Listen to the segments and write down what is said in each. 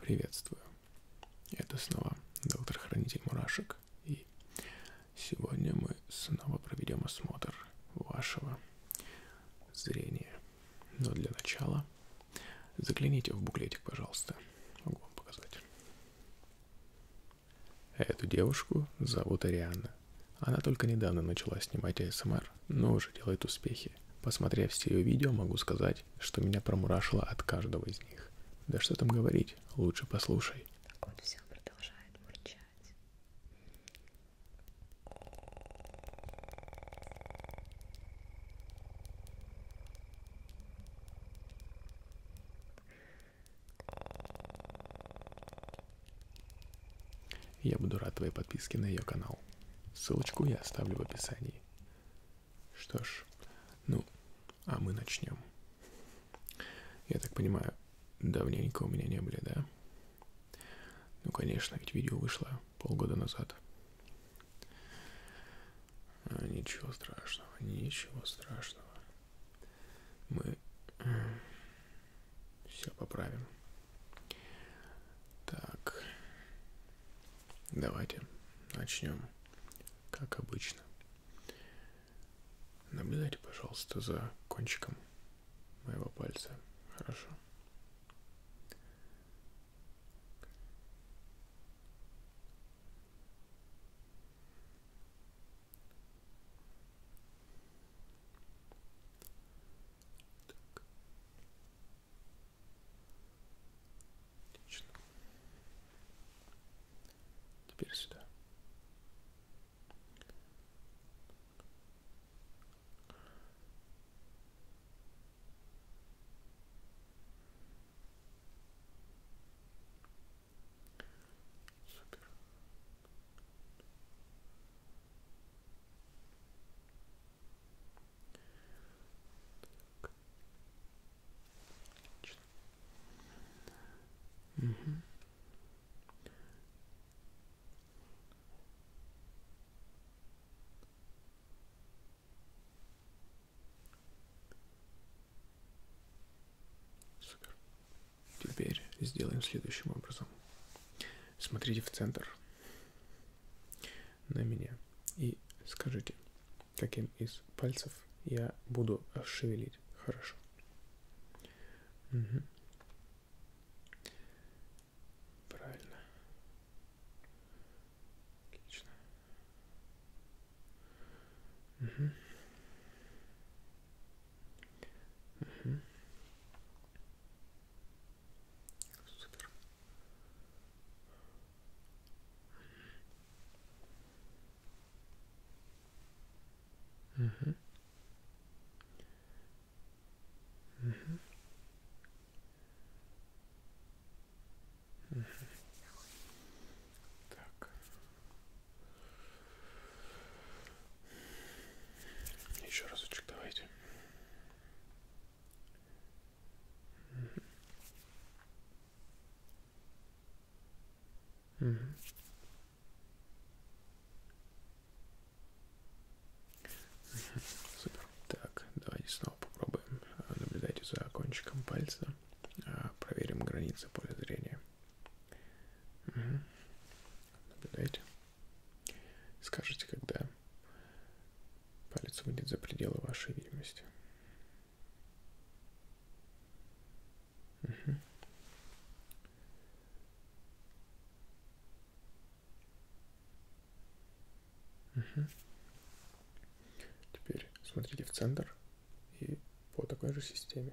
Приветствую. Это снова доктор-хранитель мурашек. И сегодня мы снова проведем осмотр вашего зрения. Но для начала загляните в буклетик, пожалуйста. Могу вам показать. Эту девушку зовут Арианна. Она только недавно начала снимать АСМР но уже делает успехи. Посмотрев все ее видео, могу сказать, что меня промурашило от каждого из них. Да что там говорить, лучше послушай. Так он все продолжает мурчать. Я буду рад твоей подписке на ее канал. Ссылочку я оставлю в описании. России. Что ж, ну, а мы начнем. Я так понимаю, давненько у меня не были, да? Ну, конечно, ведь видео вышло полгода назад. А, ничего страшного, ничего страшного. Мы э, все поправим. Так, Давайте начнем, как обычно. Наблюдайте, пожалуйста, за кончиком моего пальца. Хорошо. Так. Отлично. Теперь сюда. Супер. Так. Угу. Супер. Теперь сделаем следующим образом смотрите в центр на меня и скажите, каким из пальцев я буду шевелить. Хорошо. Угу. Правильно. Отлично. Угу. Угу. Супер. Угу. Угу. Угу. Так. Еще разочек давайте. Угу. Супер. Так, давайте снова попробуем. Э, наблюдайте за кончиком пальца. Э, проверим границы поля зрения. Угу. Наблюдайте. Скажите, когда палец выйдет за пределы вашей видимости. Угу. Угу. Теперь смотрите в центр и по такой же системе.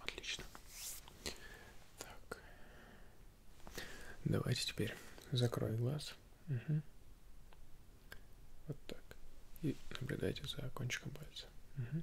Отлично. Так. Давайте теперь закрой глаз. Угу. Вот так. И наблюдайте за кончиком пальца. Угу.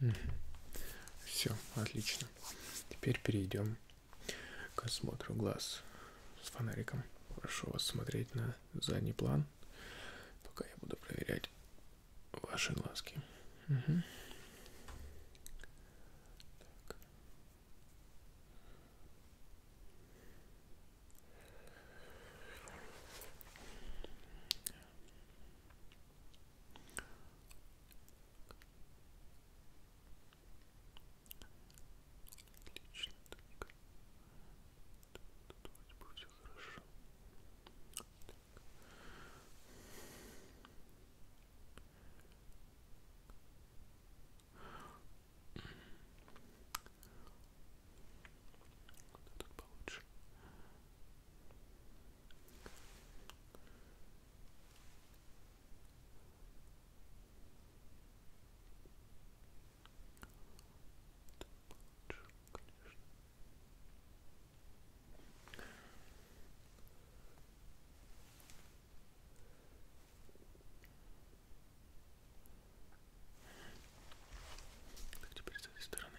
Угу. Все, отлично. Теперь перейдем к осмотру глаз с фонариком. Прошу вас смотреть на задний план, пока я буду проверять ваши глазки. Угу. Так. Отлично, так. Тут вроде бы все хорошо. Так. Вот этот получше. Так. Так, теперь с этой стороны.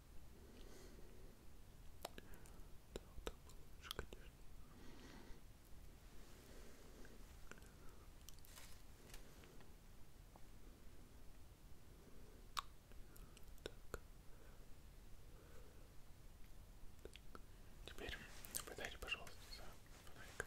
Да, вот так было лучше, конечно. Так. Теперь наблюдайте, пожалуйста, за фонариком.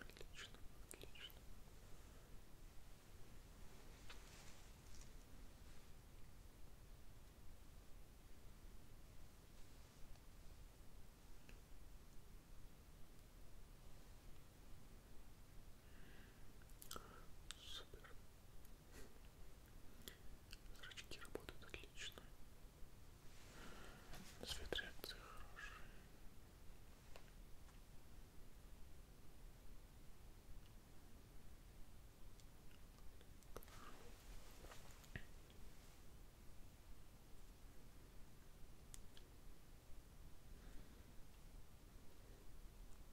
Отлично, отлично. Супер. Зрачки работают отлично. Цвет реакции хороший.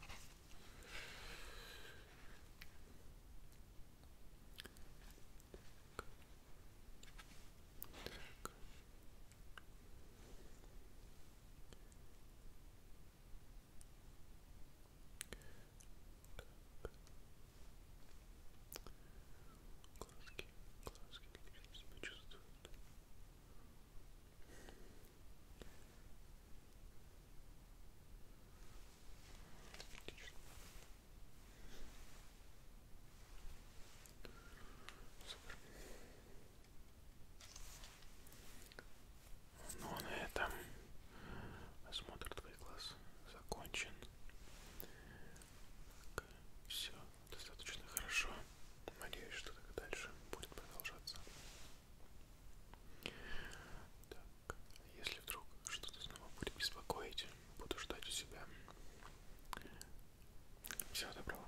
Так. Так. Глазки, глазки, как себя чувствуют. Так. Супер. Ну а на этом осмотр твоих глаз закончен. Так, все достаточно хорошо. Надеюсь, что так и дальше будет продолжаться. Так, если вдруг что-то снова будет беспокоить, буду ждать у себя. Всего доброго.